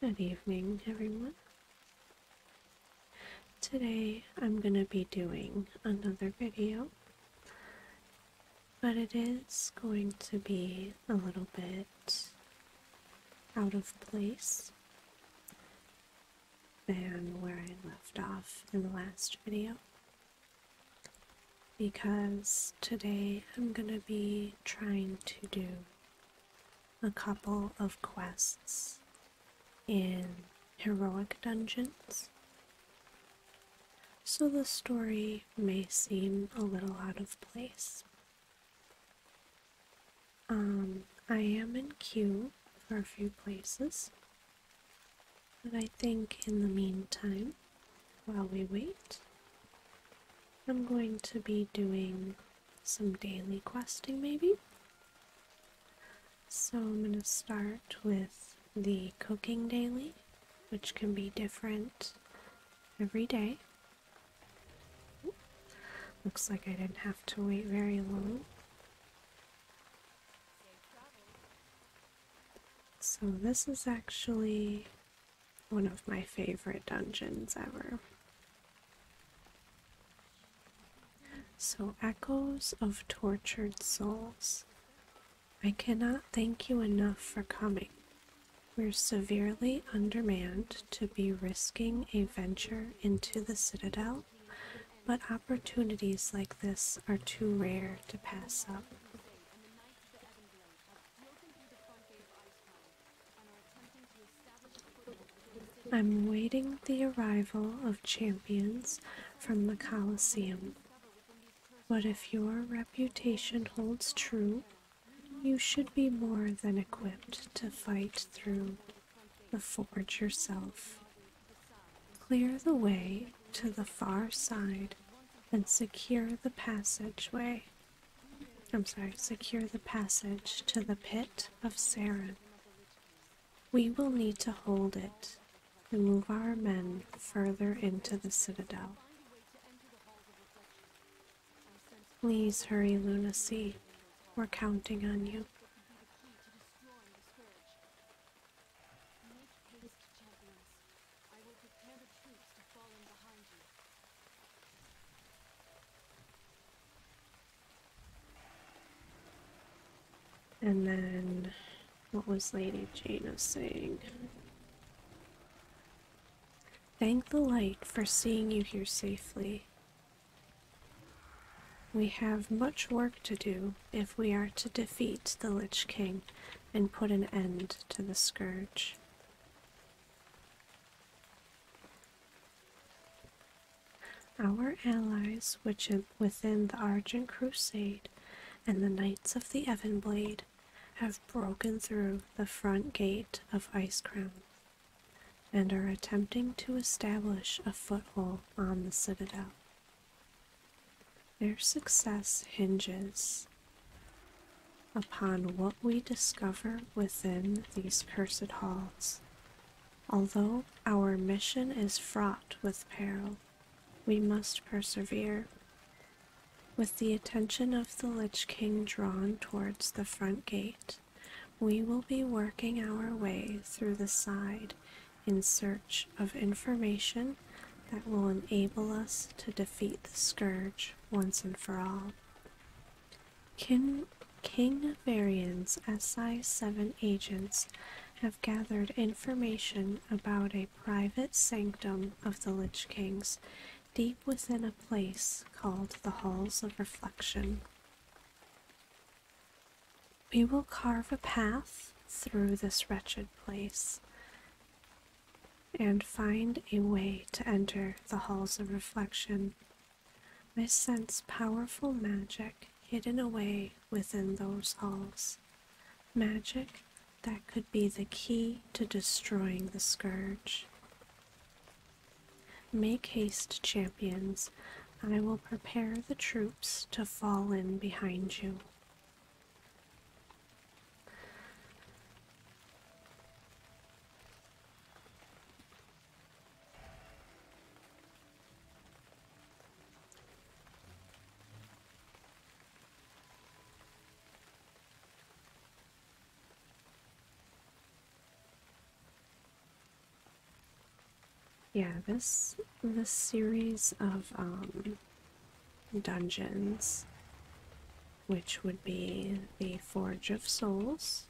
Good evening, everyone. Today I'm going to be doing another video, but it is going to be a little bit out of place than where I left off in the last video because today I'm going to be trying to do a couple of quests in heroic dungeons. So the story may seem a little out of place. Um, I am in queue for a few places, but I think in the meantime, while we wait, I'm going to be doing some daily questing maybe. So I'm going to start with the cooking daily, which can be different every day. Looks like I didn't have to wait very long. So, this is actually one of my favorite dungeons ever. So, Echoes of Tortured Souls, I cannot thank you enough for coming. We're severely undermanned to be risking a venture into the Citadel, but opportunities like this are too rare to pass up. I'm waiting the arrival of champions from the Colosseum. But if your reputation holds true, you should be more than equipped to fight through the forge yourself. Clear the way to the far side and secure the passageway I'm sorry, secure the passage to the pit of Sarin. We will need to hold it and move our men further into the citadel. Please hurry, Lunacy. We're counting on you. And then, what was Lady Jaina saying? Thank the light for seeing you here safely. We have much work to do if we are to defeat the Lich King and put an end to the Scourge. Our allies, which within the Argent Crusade and the Knights of the Evanblade, have broken through the front gate of Ice Crown and are attempting to establish a foothold on the Citadel. Their success hinges upon what we discover within these cursed halls. Although our mission is fraught with peril, we must persevere. With the attention of the Lich King drawn towards the front gate, we will be working our way through the side in search of information that will enable us to defeat the Scourge once and for all. King, King Varian's SI7 agents have gathered information about a private sanctum of the Lich Kings deep within a place called the Halls of Reflection. We will carve a path through this wretched place and find a way to enter the halls of reflection. I sense powerful magic hidden away within those halls. Magic that could be the key to destroying the scourge. Make haste, champions. I will prepare the troops to fall in behind you. Yeah, this this series of um dungeons, which would be the Forge of Souls,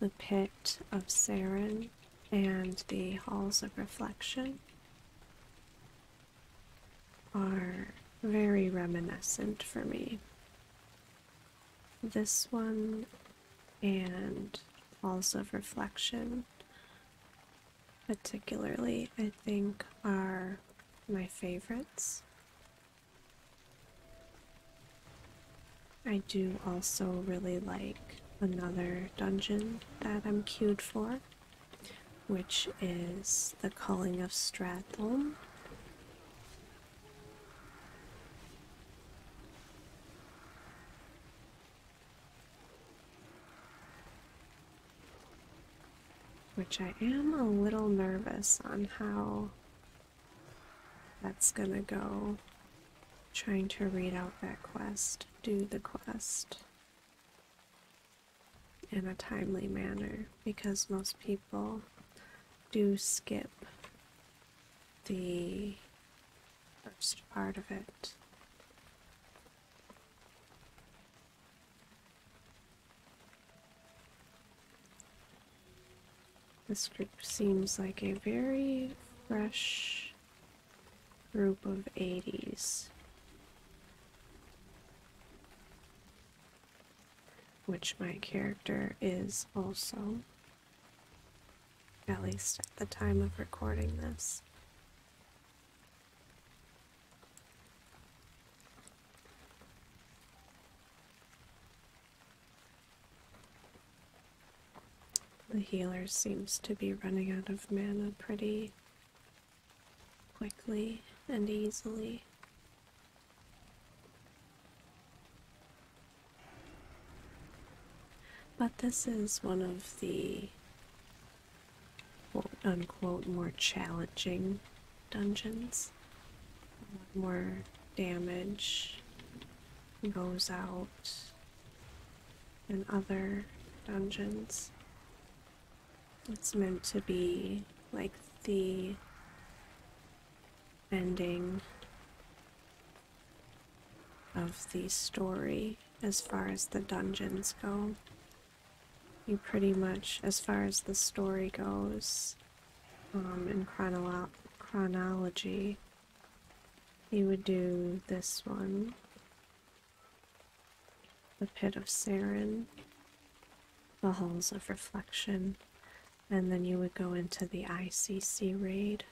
the Pit of Saren, and the Halls of Reflection, are very reminiscent for me. This one and Halls of Reflection, particularly, I think, are my favorites. I do also really like another dungeon that I'm queued for, which is the Calling of Stratholm. Which I am a little nervous on how that's gonna go. Trying to read out that quest, do the quest in a timely manner because most people do skip the first part of it. This group seems like a very fresh group of 80s. Which my character is also, at least at the time of recording this. The healer seems to be running out of mana pretty quickly and easily. But this is one of the unquote more challenging dungeons. More damage goes out in other dungeons. It's meant to be like the ending of the story as far as the dungeons go you pretty much, as far as the story goes, um, in chronology, you would do this one The Pit of Sarin, The Halls of Reflection, and then you would go into the ICC raid.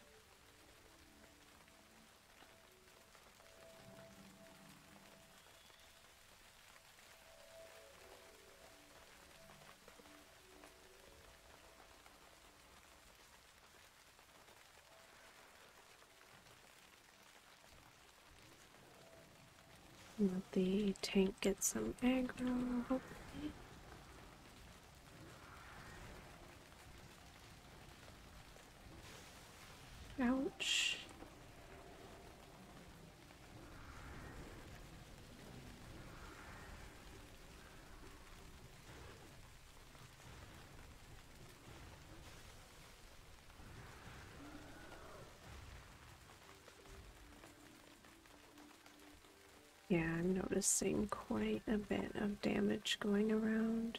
Let the tank get some aggro, hopefully. Ouch. Yeah, I'm noticing quite a bit of damage going around.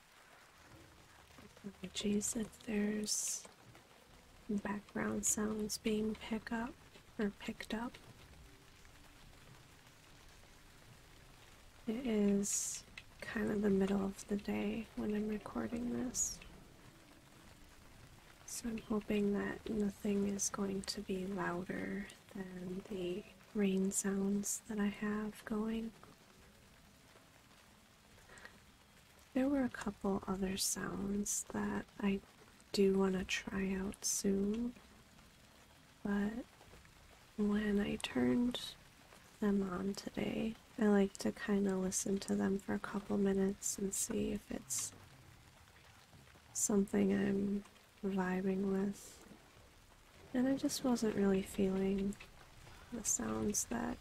Apologies if there's background sounds being picked up or picked up. It is kind of the middle of the day when I'm recording this. So I'm hoping that nothing is going to be louder than the rain sounds that I have going. There were a couple other sounds that I do want to try out soon, but when I turned them on today, I like to kind of listen to them for a couple minutes and see if it's something I'm vibing with. And I just wasn't really feeling the sounds that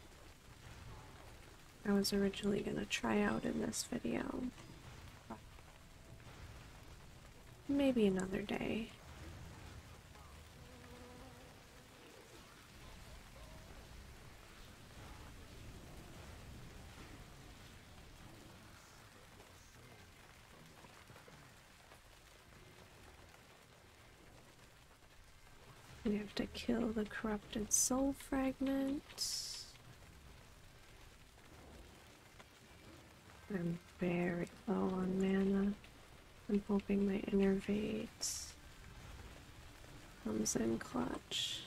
I was originally going to try out in this video. Maybe another day. We have to kill the corrupted soul fragment. I'm very low on mana. I'm hoping my innervate comes in clutch.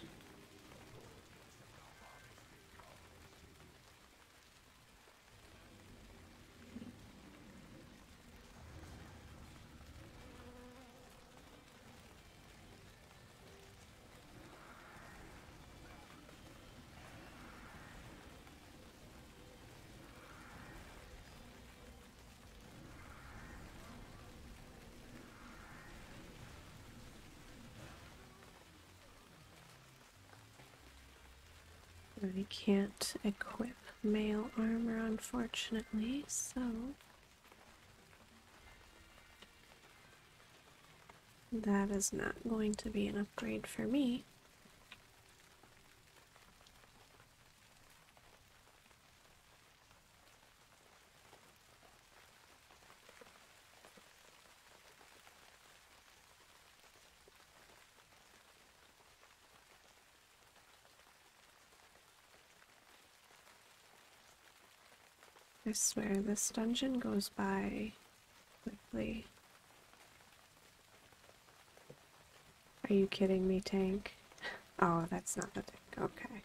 We can't equip Male armor, unfortunately, so that is not going to be an upgrade for me. I swear, this dungeon goes by quickly. Are you kidding me, tank? Oh, that's not the tank. Okay.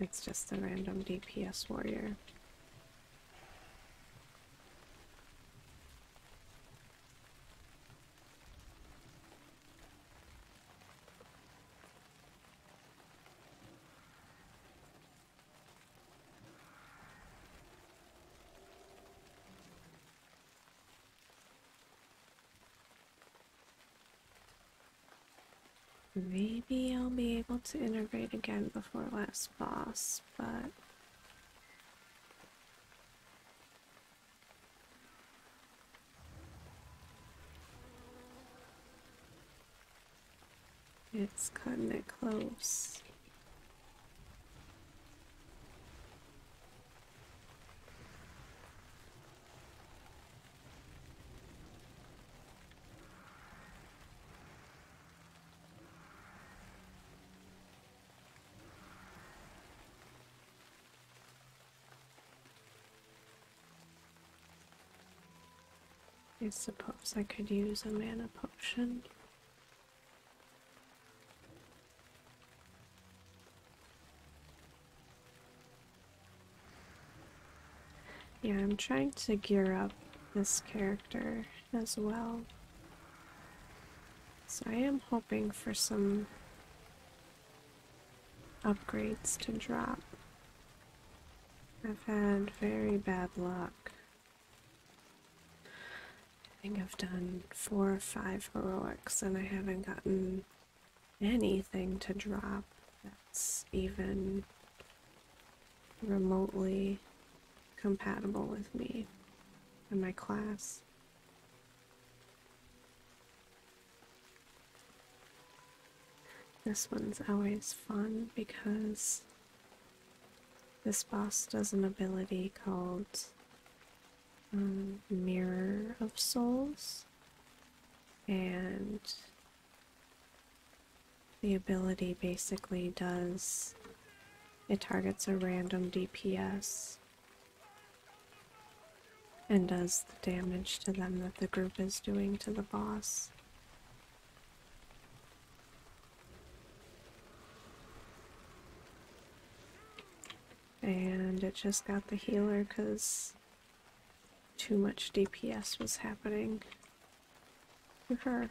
It's just the random DPS warrior. Maybe I'll be able to integrate again before last boss, but it's cutting it close. I suppose I could use a mana potion. Yeah, I'm trying to gear up this character as well. So I am hoping for some upgrades to drop. I've had very bad luck. I think I've done four or five heroics and I haven't gotten anything to drop that's even remotely compatible with me and my class. This one's always fun because this boss does an ability called um, Mirror of Souls, and the ability basically does it targets a random DPS and does the damage to them that the group is doing to the boss. And it just got the healer because too much DPS was happening for her.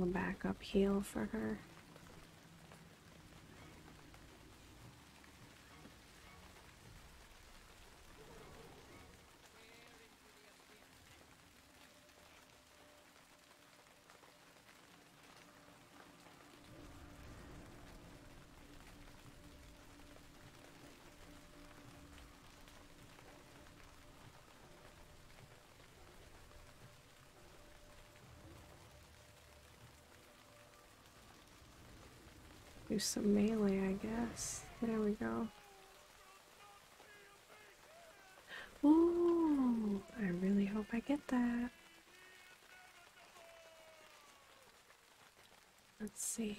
A backup heel for her. Do some melee, I guess. There we go. Ooh, I really hope I get that. Let's see.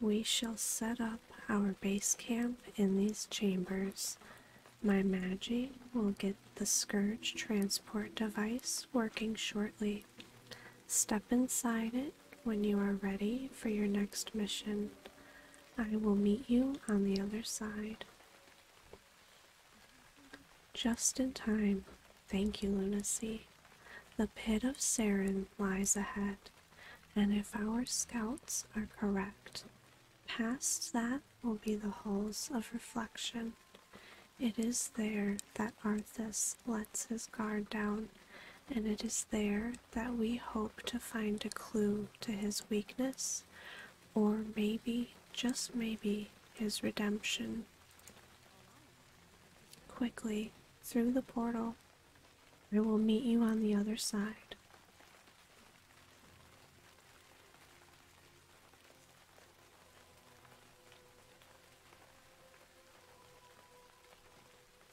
We shall set up our base camp in these chambers. My Magi will get the Scourge transport device working shortly. Step inside it when you are ready for your next mission. I will meet you on the other side. Just in time. Thank you, Lunacy. The pit of Sarin lies ahead and if our scouts are correct, past that will be the halls of reflection. It is there that Arthas lets his guard down, and it is there that we hope to find a clue to his weakness, or maybe, just maybe, his redemption. Quickly, through the portal, I will meet you on the other side.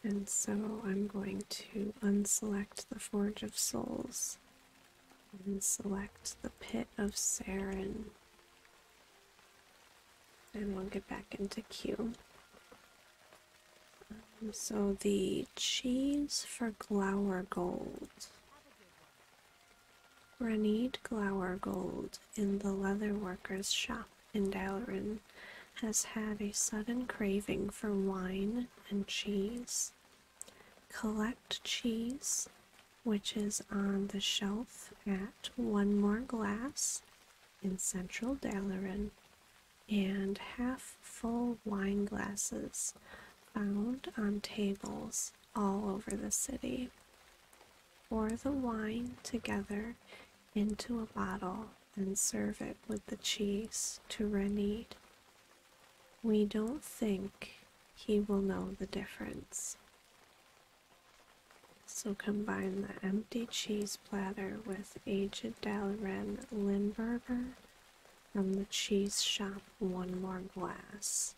And so I'm going to unselect the Forge of Souls and select the Pit of Saren. And we'll get back into queue so the cheese for Glower Gold. Renade Glower Gold in the leatherworker's shop in Dalaran has had a sudden craving for wine and cheese. Collect cheese, which is on the shelf at One More Glass in central Dalaran, and half full wine glasses found on tables all over the city. Pour the wine together into a bottle and serve it with the cheese to Renede. We don't think he will know the difference. So combine the empty cheese platter with aged Dalren Limburger from the cheese shop One More Glass,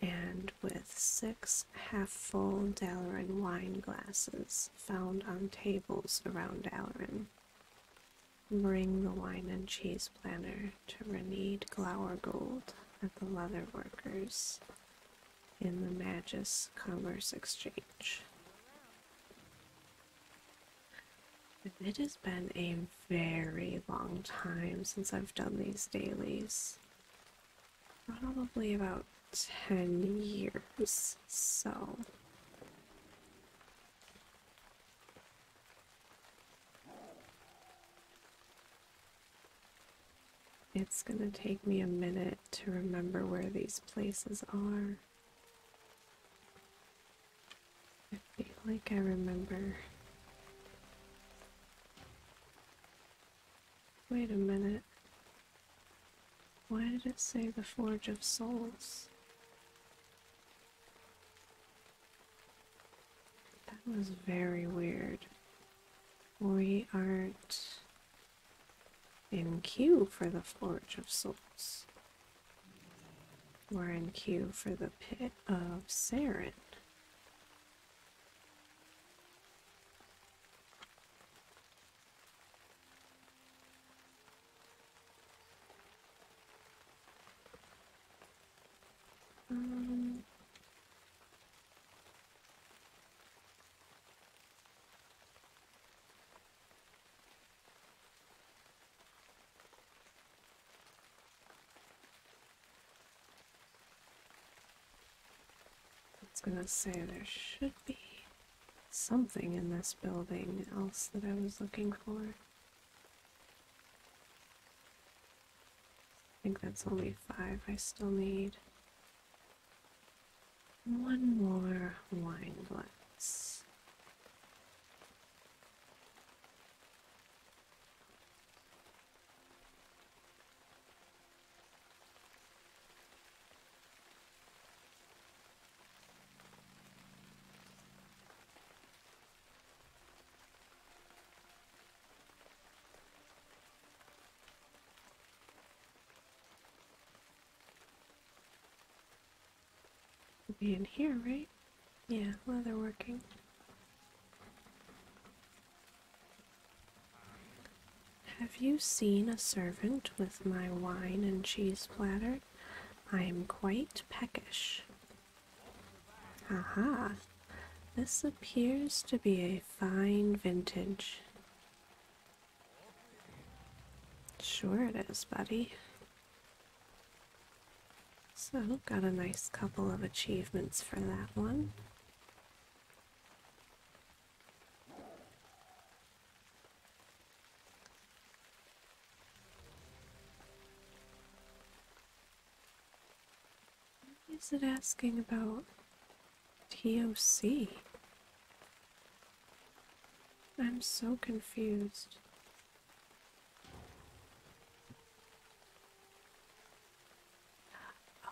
and with six half-full Dalren wine glasses found on tables around Dalren. Bring the wine and cheese platter to Renede Glowergold at the Leatherworkers in the Magus Commerce Exchange. It has been a very long time since I've done these dailies. Probably about 10 years, so. It's gonna take me a minute to remember where these places are. I feel like I remember. Wait a minute. Why did it say the Forge of Souls? That was very weird. We aren't in queue for the Forge of Souls. We're in queue for the Pit of Saren. I was gonna say there should be something in this building else that I was looking for. I think that's only five I still need one more wine glass be in here, right? Yeah, While they're working. Have you seen a servant with my wine and cheese platter? I am quite peckish. Aha! This appears to be a fine vintage. Sure it is, buddy. So, got a nice couple of achievements for that one. Is it asking about TOC? I'm so confused.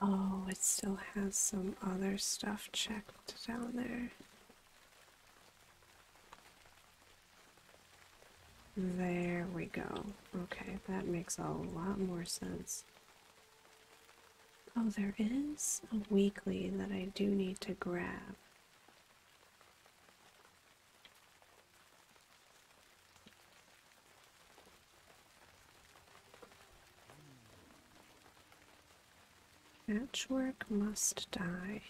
Oh, it still has some other stuff checked down there. There we go. Okay, that makes a lot more sense. Oh, there is a weekly that I do need to grab. Patchwork must die.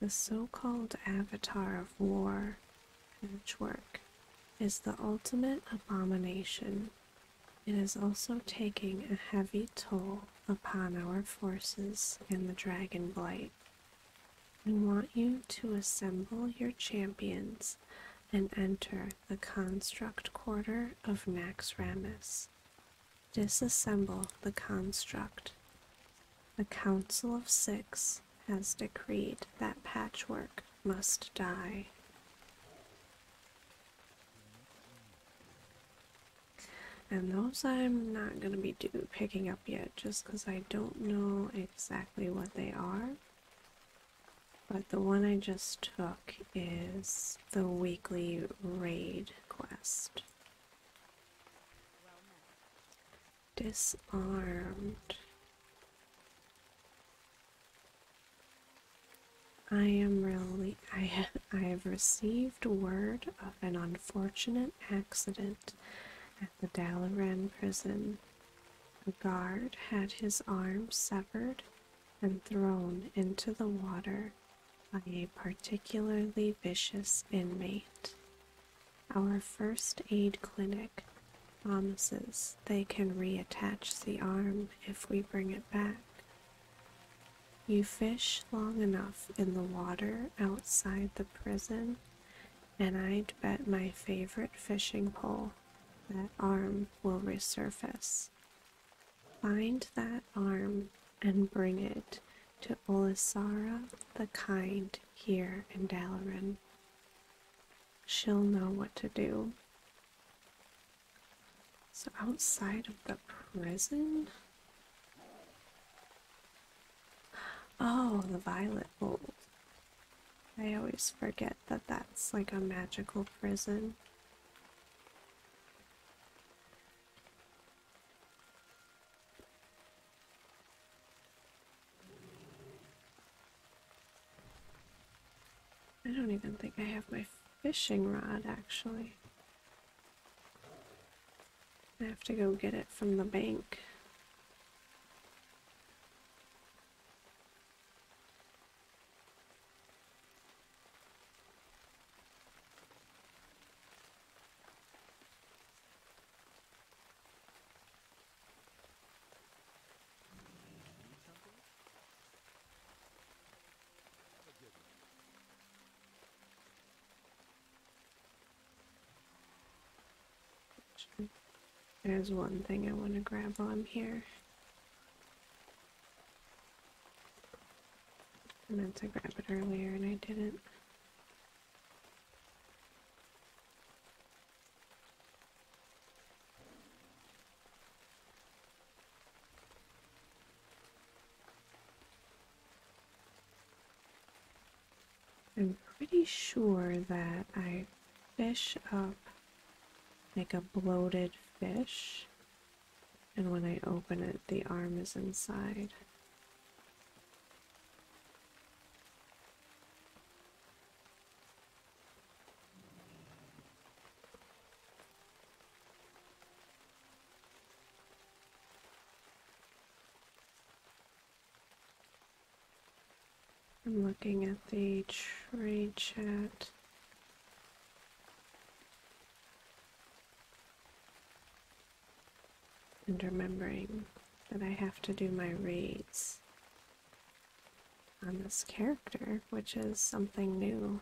The so-called avatar of war, patchwork, is the ultimate abomination. It is also taking a heavy toll upon our forces and the Dragon Blight. We want you to assemble your champions and enter the Construct Quarter of Naxxramas. Disassemble the Construct. The Council of Six has decreed that Patchwork must die. And those I'm not going to be picking up yet just because I don't know exactly what they are. But the one I just took is the weekly raid quest. Disarmed. I am really I have I have received word of an unfortunate accident at the Dalaran prison. A guard had his arm severed and thrown into the water by a particularly vicious inmate. Our first aid clinic promises they can reattach the arm if we bring it back. You fish long enough in the water outside the prison, and I'd bet my favorite fishing pole that arm will resurface. Find that arm and bring it to Olisara the Kind here in Dalaran. She'll know what to do. So outside of the prison? Oh, the violet mold. I always forget that that's like a magical prison. I don't even think I have my fishing rod actually. I have to go get it from the bank. There's one thing I want to grab while I'm here. I meant to grab it earlier and I didn't. I'm pretty sure that I fish up like a bloated fish, and when I open it, the arm is inside. I'm looking at the trade chat. And remembering that I have to do my raids on this character, which is something new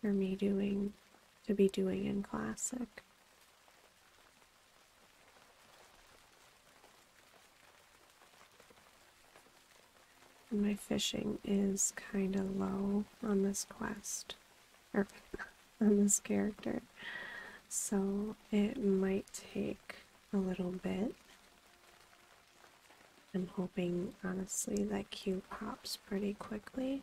for me doing to be doing in classic. my fishing is kind of low on this quest, or on this character, so it might take a little bit. I'm hoping honestly that Q pops pretty quickly.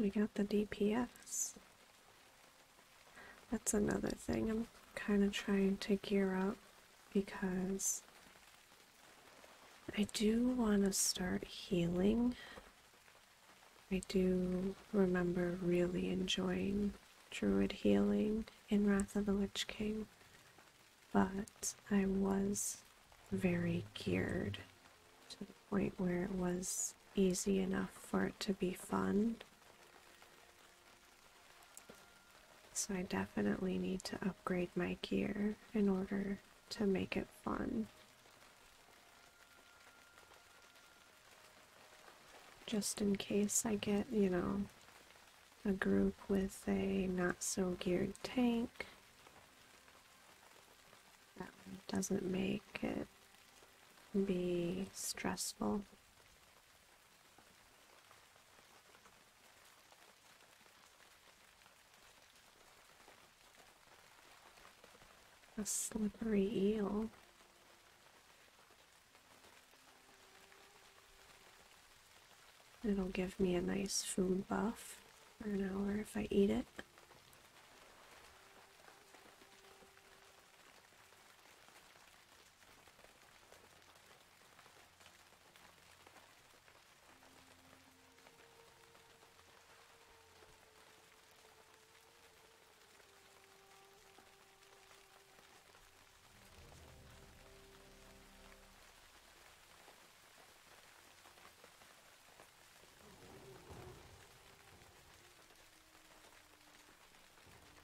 we got the DPS. That's another thing I'm kind of trying to gear up because I do want to start healing. I do remember really enjoying druid healing in Wrath of the Witch King but I was very geared to the point where it was easy enough for it to be fun. So I definitely need to upgrade my gear in order to make it fun. Just in case I get, you know, a group with a not so geared tank that way doesn't make it be stressful. A slippery eel. It'll give me a nice food buff for an hour if I eat it.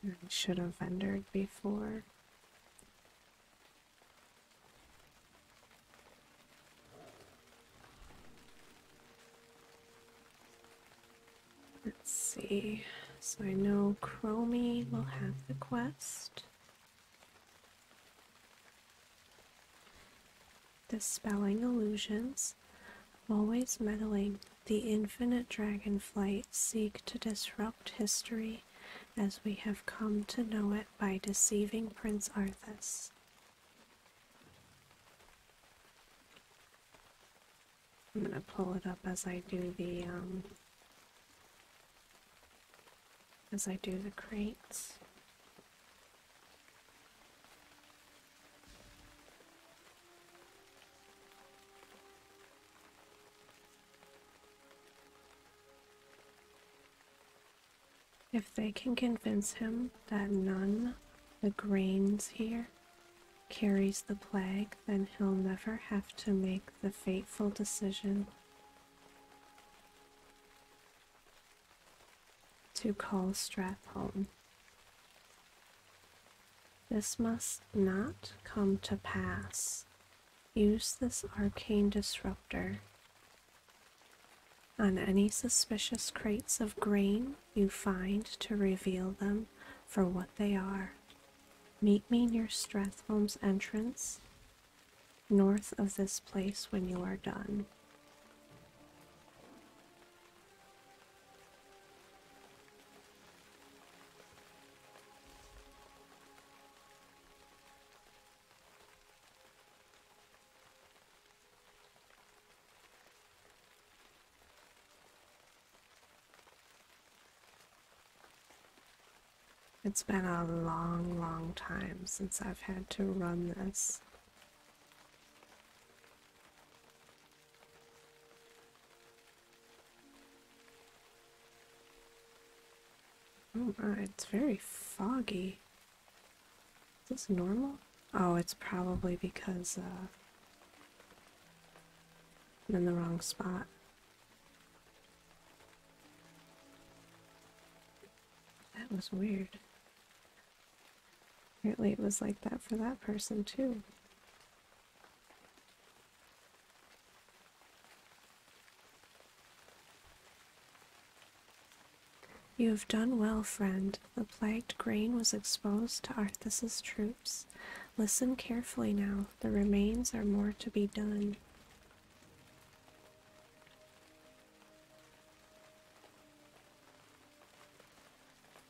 I should have entered before. Let's see. So I know Chromie will have the quest. Dispelling illusions, always meddling, the infinite dragonflight seek to disrupt history as we have come to know it by deceiving Prince Arthas. I'm going to pull it up as I do the um, as I do the crates. If they can convince him that none the grains here carries the plague, then he'll never have to make the fateful decision to call Stratholme. This must not come to pass. Use this arcane disruptor. On any suspicious crates of grain you find to reveal them for what they are. Meet me near Strathholme's entrance north of this place when you are done. It's been a long, long time since I've had to run this. Oh it's very foggy. Is this normal? Oh, it's probably because uh, I'm in the wrong spot. That was weird. Apparently, it was like that for that person, too. You have done well, friend. The plagued grain was exposed to Arthas's troops. Listen carefully now. The remains are more to be done.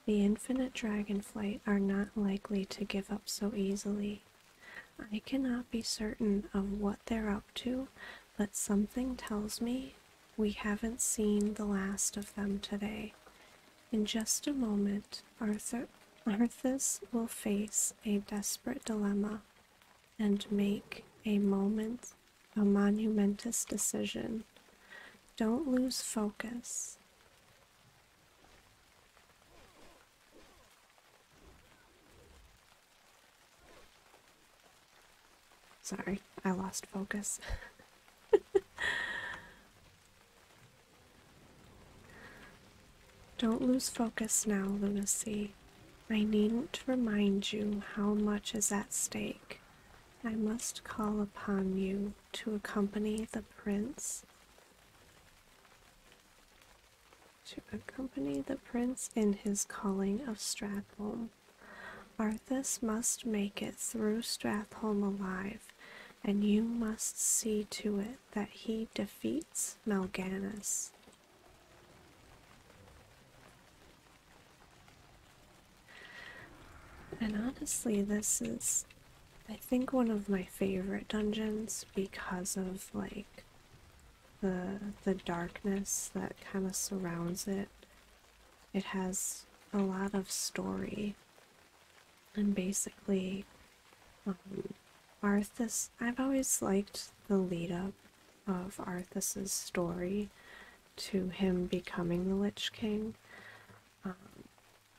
The infinite dragonflight are not likely to give up so easily. I cannot be certain of what they're up to, but something tells me we haven't seen the last of them today. In just a moment, Arthur Arthas will face a desperate dilemma and make a moment a monumentous decision. Don't lose focus. Sorry, I lost focus. Don't lose focus now, Lunacy. I needn't remind you how much is at stake. I must call upon you to accompany the prince. To accompany the prince in his calling of Strathholm. Arthur must make it through Strathholm alive, and you must see to it that he defeats Malganus. And honestly, this is, I think, one of my favorite dungeons because of like the the darkness that kind of surrounds it. It has a lot of story, and basically, um, Arthas. I've always liked the lead up of Arthas's story to him becoming the Lich King. Um,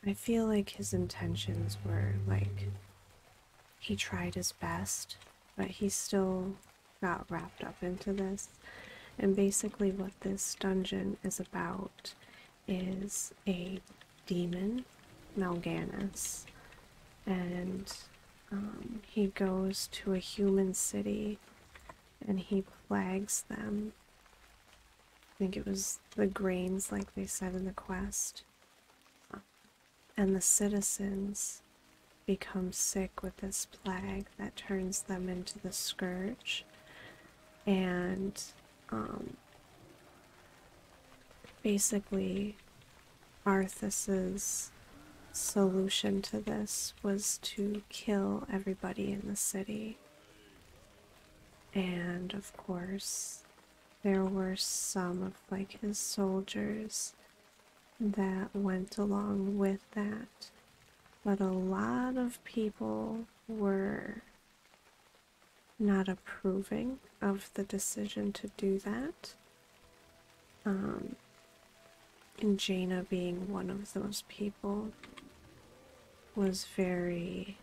I feel like his intentions were like he tried his best, but he still got wrapped up into this. And basically, what this dungeon is about is a demon, Malganus, and um, he goes to a human city and he plagues them. I think it was the grains, like they said in the quest. And the citizens become sick with this plague that turns them into the scourge. And um, basically, Arthas's solution to this was to kill everybody in the city. And of course, there were some of like his soldiers that went along with that. But a lot of people were not approving of the decision to do that. Um, and Jaina being one of those people was very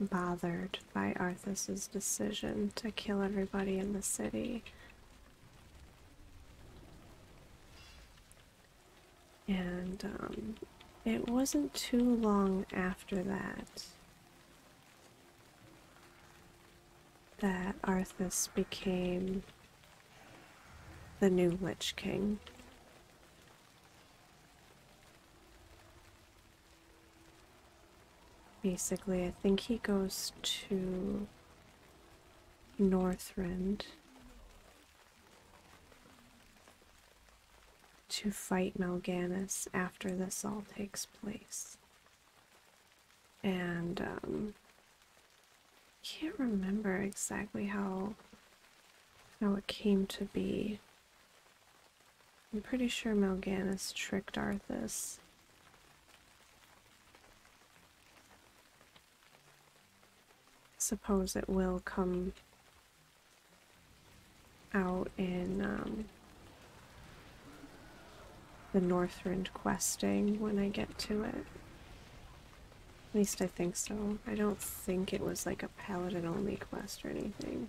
bothered by Arthas's decision to kill everybody in the city. And um, it wasn't too long after that that Arthas became the new Lich King. Basically, I think he goes to Northrend to fight Mal'Ganis after this all takes place and I um, can't remember exactly how how it came to be. I'm pretty sure Mal'Ganis tricked Arthas. Suppose it will come out in um, the Northrend questing when I get to it. At least I think so. I don't think it was like a paladin only quest or anything.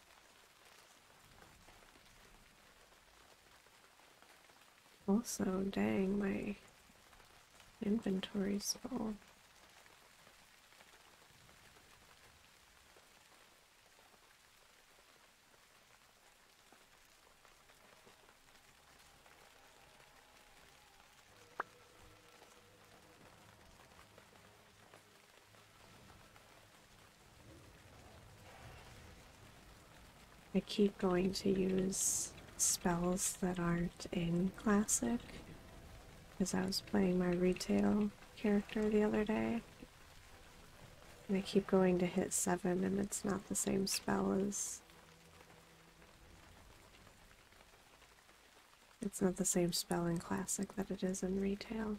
Also, dang, my inventory's full. I keep going to use spells that aren't in Classic because I was playing my retail character the other day. And I keep going to hit 7 and it's not the same spell as it's not the same spelling classic that it is in retail.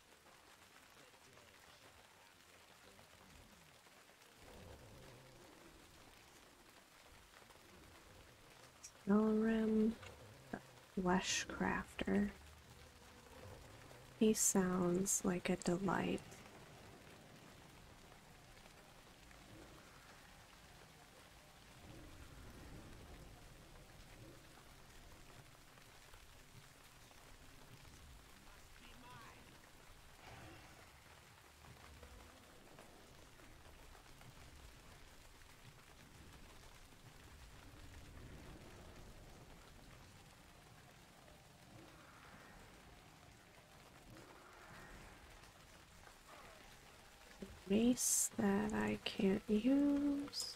Skyrim Flesh Crafter. He sounds like a delight mace that I can't use.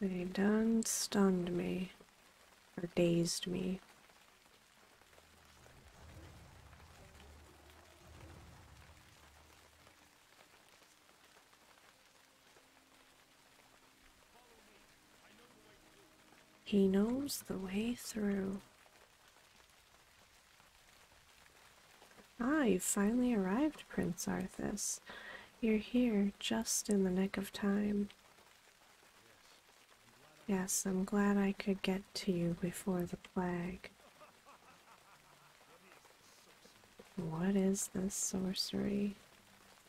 They done stunned me, or dazed me. He knows the way through. Ah, you finally arrived, Prince Arthas. You're here just in the nick of time. Yes, I'm glad I could get to you before the plague. What is this sorcery?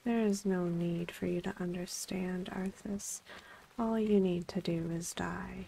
There is no need for you to understand, Arthas. All you need to do is die.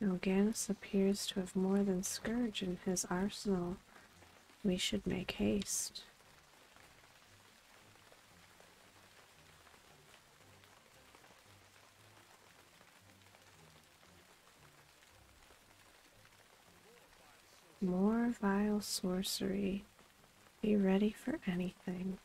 Nilganis appears to have more than Scourge in his arsenal. We should make haste. More vile sorcery. Be ready for anything.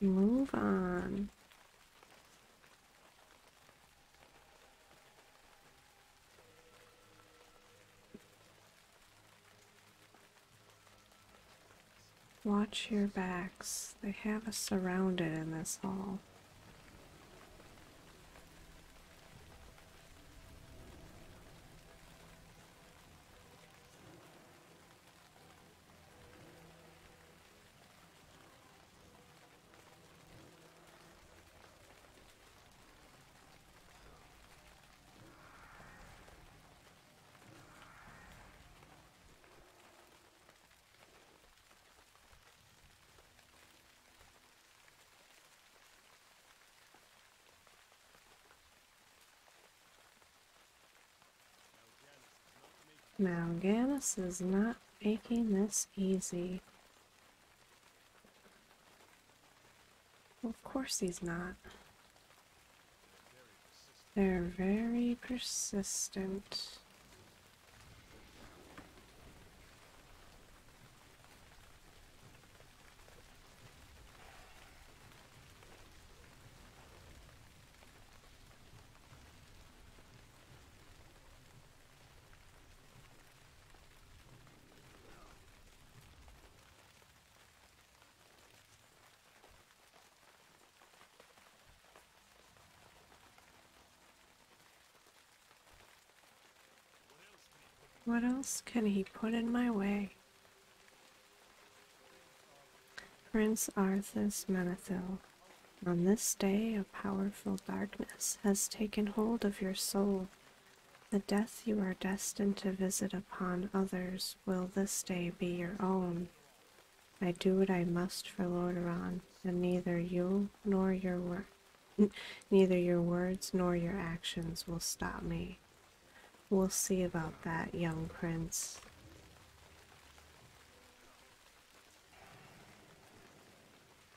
Move on. Watch your backs. They have us surrounded in this hall. Now, Gannis is not making this easy of course he's not. They're very persistent. What else can he put in my way? Prince Arthas Menethil, on this day a powerful darkness has taken hold of your soul the death you are destined to visit upon others will this day be your own. I do what I must for Lordaeron, and neither you nor your Neither your words nor your actions will stop me. We'll see about that, young prince.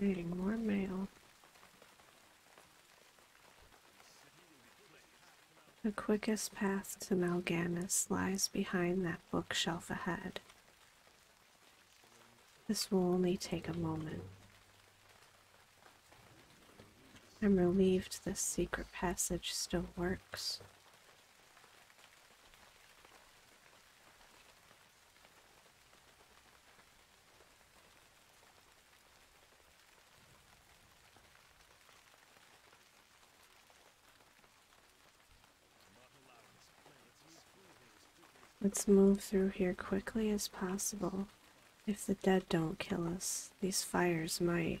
Getting more mail. The quickest path to Malganis lies behind that bookshelf ahead. This will only take a moment. I'm relieved this secret passage still works. Let's move through here quickly as possible. If the dead don't kill us, these fires might.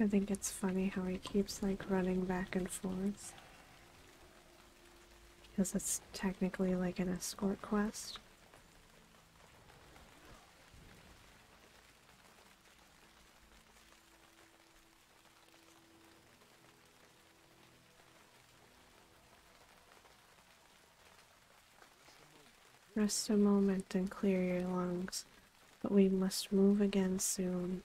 I think it's funny how he keeps like running back and forth. Because it's technically like an escort quest. Rest a moment and clear your lungs, but we must move again soon.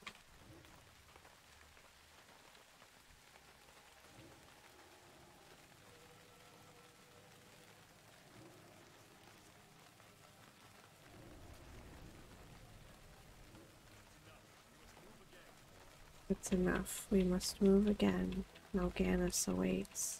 It's enough. We must move again. Nalganis awaits.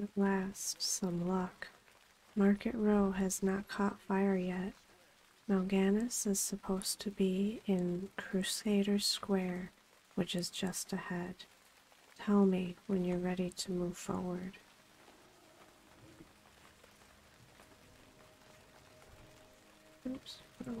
At last, some luck. Market Row has not caught fire yet. Malganis is supposed to be in Crusader Square, which is just ahead. Tell me when you're ready to move forward. Oops, what a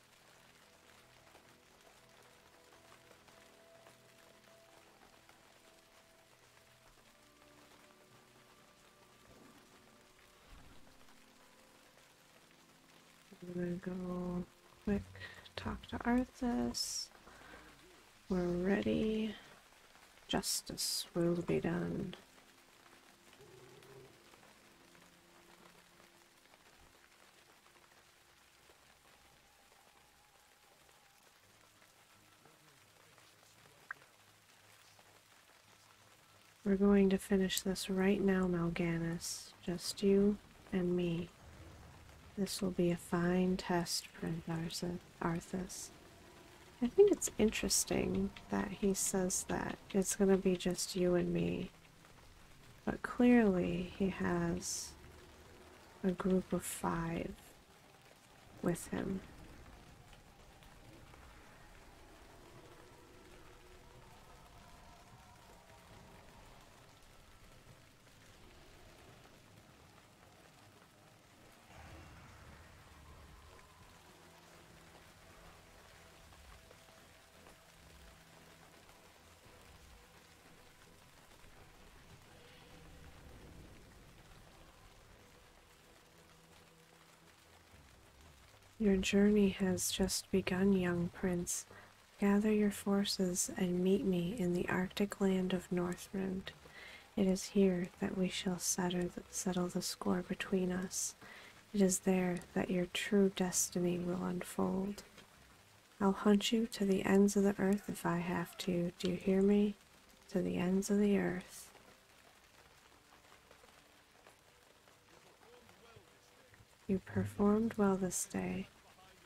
We're gonna go quick talk to Arthas. We're ready. Justice will be done. We're going to finish this right now, Malganus. Just you and me. This will be a fine test for Arthas. I think it's interesting that he says that. It's going to be just you and me. But clearly he has a group of five with him. Your journey has just begun, young prince. Gather your forces and meet me in the Arctic land of Northrend. It is here that we shall settle the, settle the score between us. It is there that your true destiny will unfold. I'll hunt you to the ends of the earth if I have to. Do you hear me? To the ends of the earth. You performed well this day.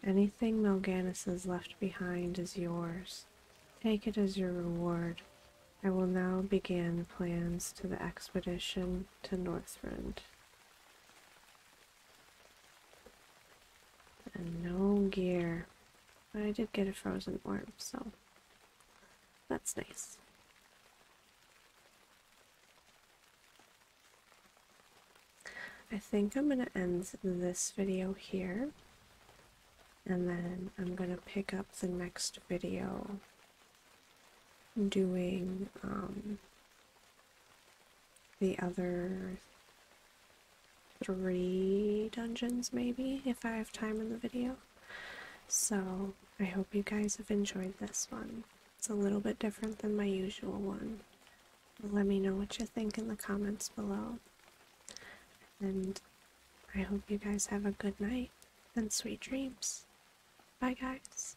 Anything Melganus has left behind is yours. Take it as your reward. I will now begin plans to the expedition to Northrend. And no gear. But I did get a frozen orb, so that's nice. I think I'm going to end this video here. And then I'm going to pick up the next video doing um, the other three dungeons, maybe, if I have time in the video. So, I hope you guys have enjoyed this one. It's a little bit different than my usual one. Let me know what you think in the comments below. And I hope you guys have a good night and sweet dreams. Bye, guys.